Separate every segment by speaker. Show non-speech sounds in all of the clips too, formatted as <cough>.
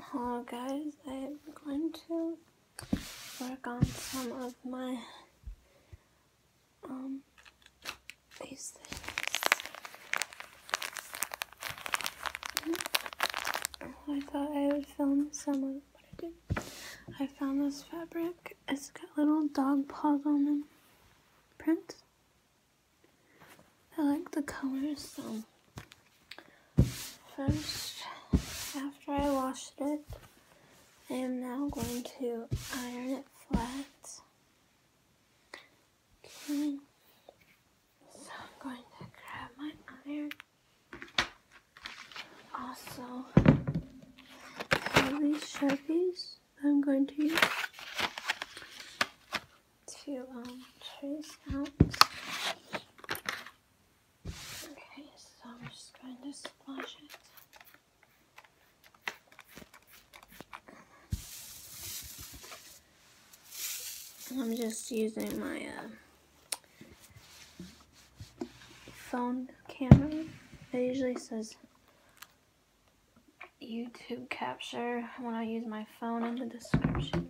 Speaker 1: Hello guys, I'm going to work on some of my um these hmm? I thought I would film some of what I did. I found this fabric. It's got little dog paws on them print. I like the colors, so first, after I washed it, I am now going to iron it flat. Okay. So I'm going to grab my iron. Also, these sharpies I'm going to use to um, trace out. Okay, so I'm just going to splash it. I'm just using my uh, phone camera. It usually says YouTube capture when I use my phone in the description.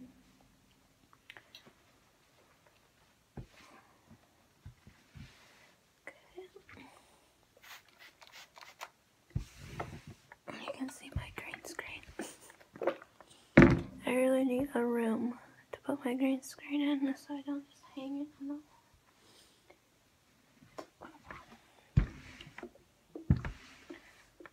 Speaker 1: You can see my green screen. I really need a room to put my green screen in so I don't just hang it on the wall.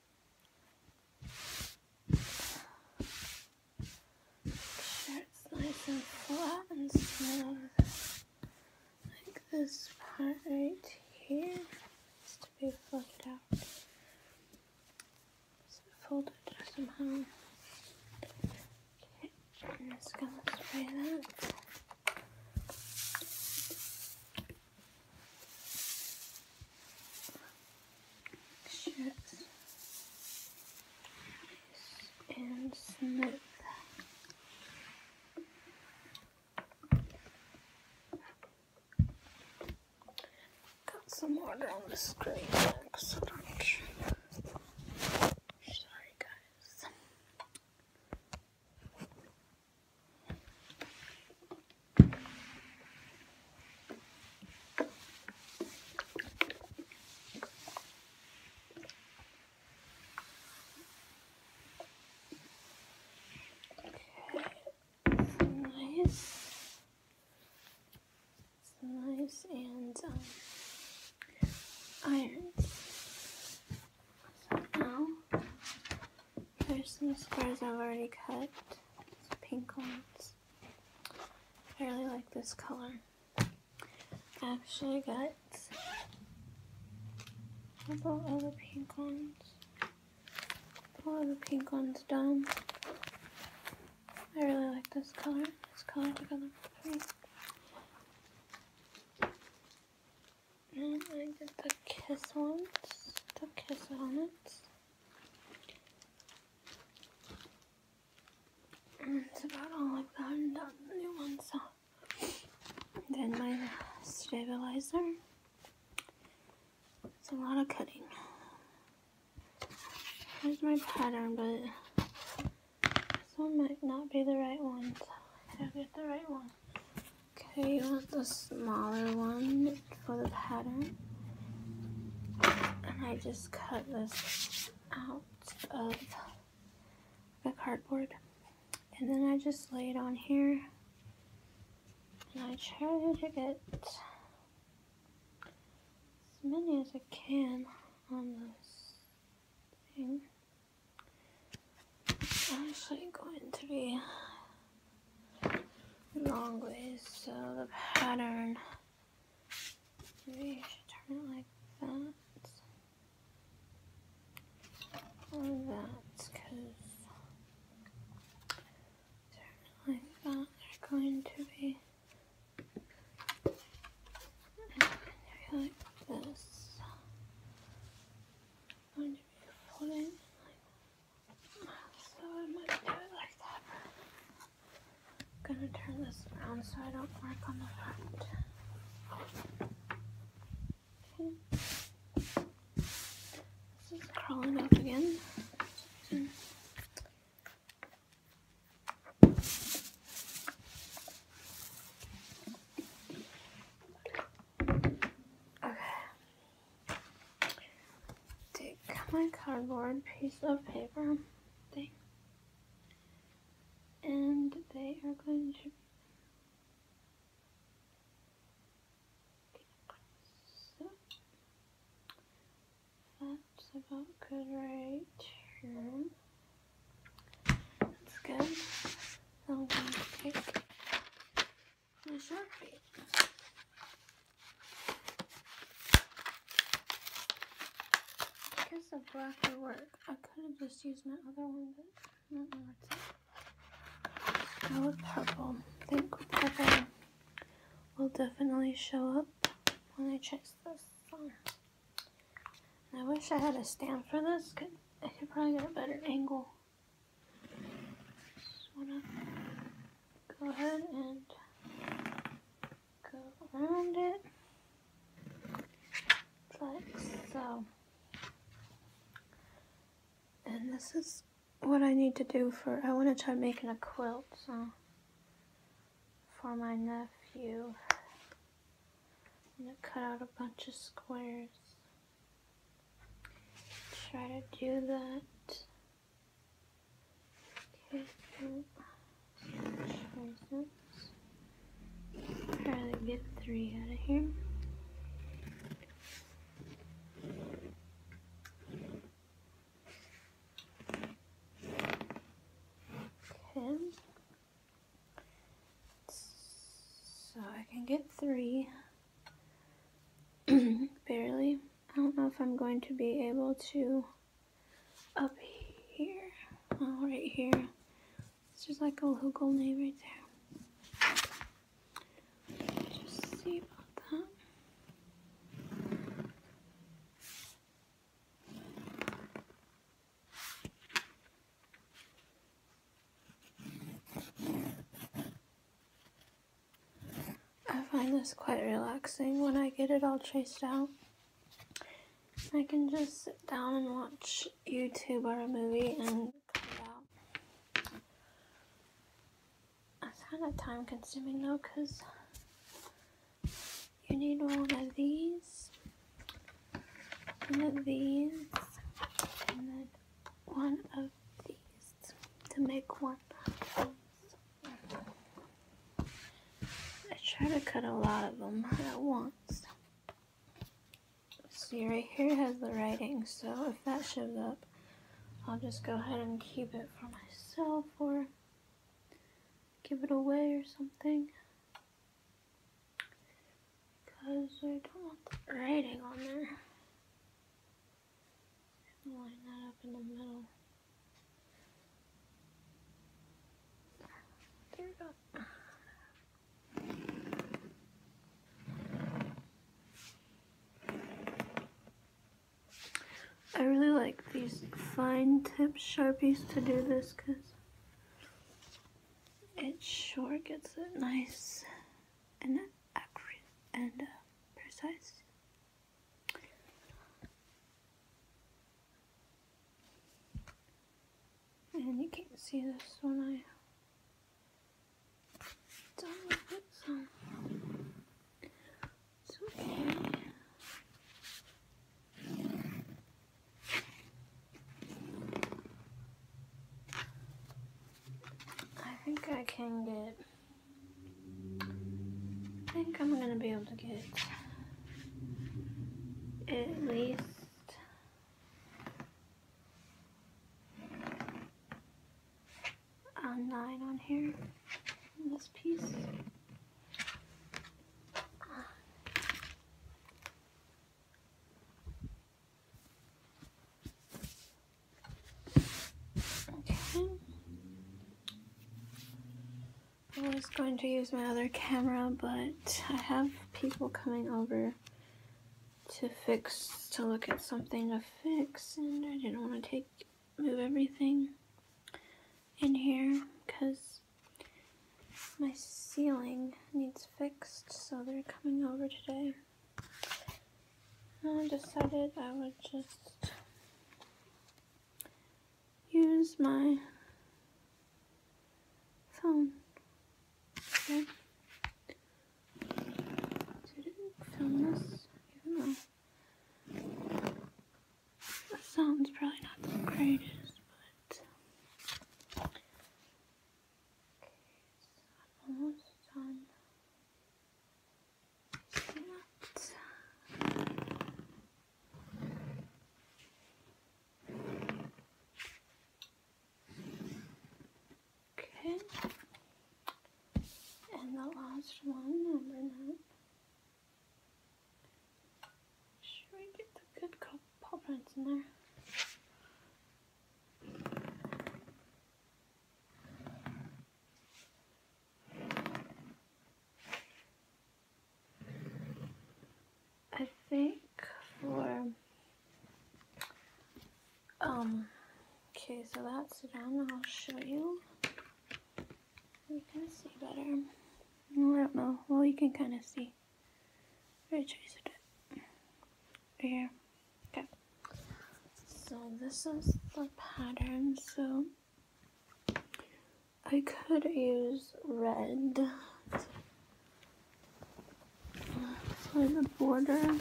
Speaker 1: Sure, it's nice and flat and smooth. Like this part right here needs to be fluffed out. So fold it somehow. Okay, I'm just gonna spray that shirts and smooth. Got some water on the screen. Sorry, guys nice. It's nice and um, So now, there's some squares I've already cut. Some pink ones. I really like this color. I Actually, got a couple other pink ones. A couple other pink ones done. I really like this color. This color together pretty. And I get the kiss ones. The kiss ones. It's about all I've gotten done. The new one, so. Then my stabilizer. It's a lot of cutting. Here's my pattern, but this one might not be the right one. So I'll get the right one. Okay, you want the smaller one for the pattern. And I just cut this out of the cardboard. And then I just lay it on here. And I try to get as many as I can on this thing. i actually going to be long ways, so the pattern Maybe you should turn it like that. Or that, because turn like that, they're going to be like this. going to be pulling so I might do it like that. am gonna turn this around so I don't work on the front. Okay. crawling up again. Hmm. Okay take my cardboard piece of paper thing and they are going to so that's about good right That's good. I'm going to take my sharpie. I guess the black would work. I could have just used my other one, but I don't know what's up. Now purple. I think purple will definitely show up when I chase this I wish I had a stand for this. Could, I could probably get a better angle. go ahead and go around it like so. And this is what I need to do for, I want to try making a quilt so for my nephew. I'm going to cut out a bunch of squares. Try to do that Careful choices. Try to get three out of here. Okay. So I can get three. <clears throat> Barely. I don't know if I'm going to be able to up here. Oh, right here. It's just like a local name right there. Just see about that. I find this quite relaxing when I get it all traced out. I can just sit down and watch YouTube or a movie and cut it out. It's kind of time consuming though because you need one of these, one of these, and then one of these to make one I try to cut a lot of them at once. See right here has the writing, so if that shows up, I'll just go ahead and keep it for myself or give it away or something. Because I don't want the writing on there. line that up in the middle. I really like these fine tip sharpies to do this because it sure gets it nice and accurate and uh, precise. And you can not see this when I done I think I can get I think I'm gonna be able to get at least a nine on here this piece. Okay. I was going to use my other camera, but I have people coming over to fix, to look at something to fix, and I didn't want to take, move everything in here, because my ceiling needs fixed, so they're coming over today. And I decided I would just use my phone. Okay. Didn't film this, even though the sound's probably not the greatest, but okay, I'm almost done. Okay. And the last one, number nine. Should we get the good paw prints in there? I think for um okay so that's done I'll show you you can see better I don't know well you can kind of see I traced it right here okay so this is the pattern so I could use red for the border.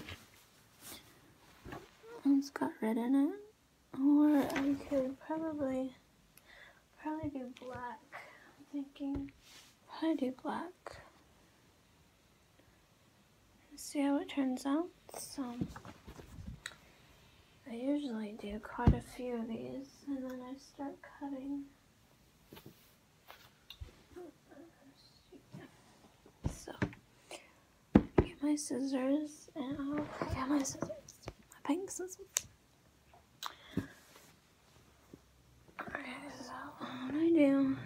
Speaker 1: It's got red in it. Or I could probably, probably do black. I'm thinking, I do black. Let's see how it turns out. So, I usually do quite a few of these and then I start cutting. So, get my scissors and i got my scissors, my pink scissors. Okay, so what I do,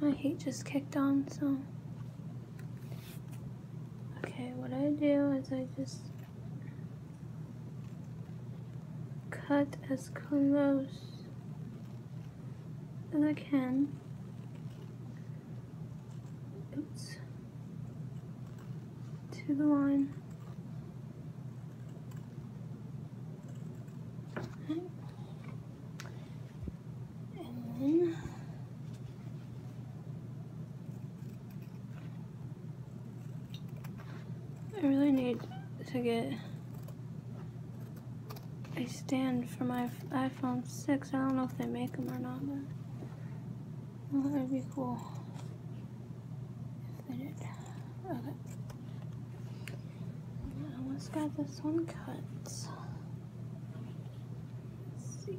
Speaker 1: my heat just kicked on, so. Okay, what I do is I just cut as close as I can. To the line. And then I really need to get a stand for my iPhone 6. I don't know if they make them or not, but that would be cool almost got this one cut. see.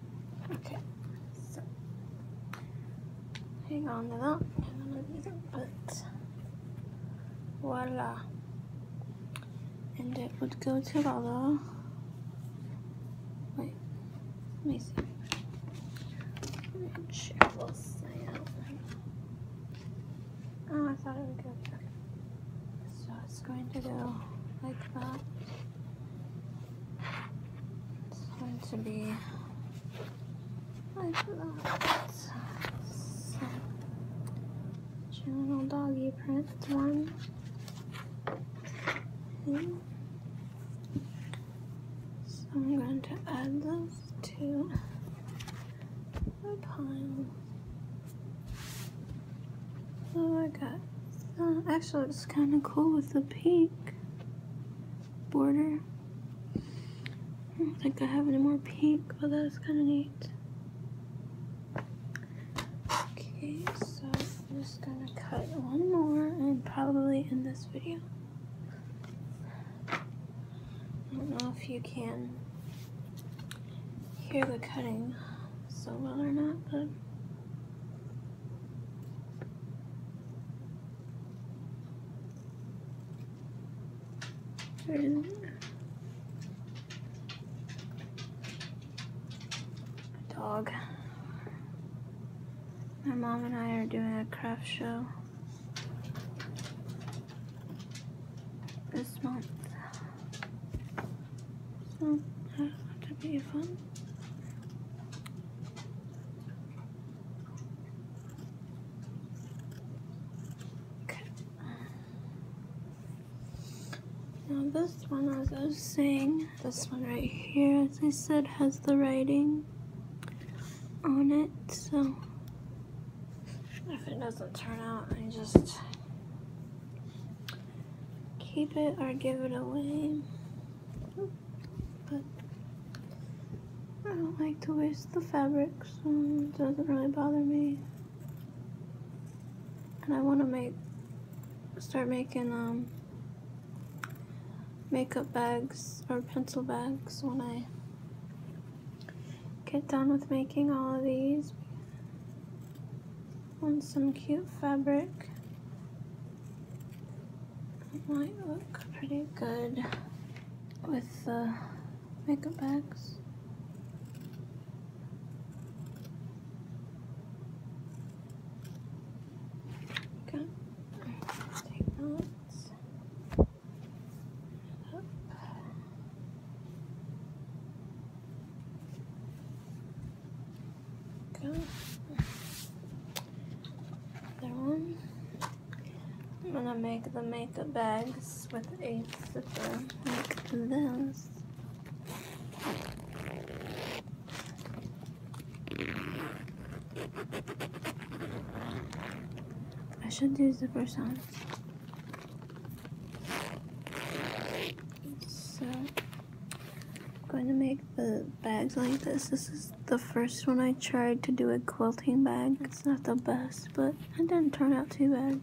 Speaker 1: Okay, so hang on to that. I'm gonna do but voila. And it would go to Lala. Wait, let me see. Oh, I thought it would go back. So it's going to go like that. It's going to be like that. So, general doggy print one. I'm going to add those to my pile. Oh, I got. actually, it's kind of cool with the pink border. I don't think I have any more pink, but that's kind of neat. Okay, so I'm just gonna cut one more and probably in this video. I don't know if you can hear the cutting so well or not, but and dog. My mom and I are doing a craft show this month. So that ought to be fun. Now this one, as I was saying, this one right here, as I said, has the writing on it, so if it doesn't turn out, I just keep it or give it away but I don't like to waste the fabric, so it doesn't really bother me. And I want to make, start making um, makeup bags or pencil bags when I get done with making all of these. On some cute fabric. It might look pretty good with the makeup bags. Okay, take that. Okay that one. I'm gonna make the makeup bags with a zipper like this. I should do the first one. So, I'm going to make the bags like this. This is the first one I tried to do a quilting bag. It's not the best, but it didn't turn out too bad.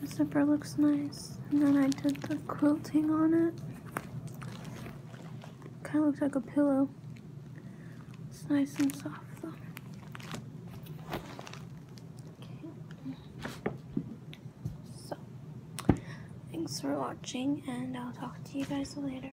Speaker 1: The zipper looks nice. And then I did the quilting on it. Kind of looks like a pillow. It's nice and soft. though. Thanks for watching, and I'll talk to you guys later.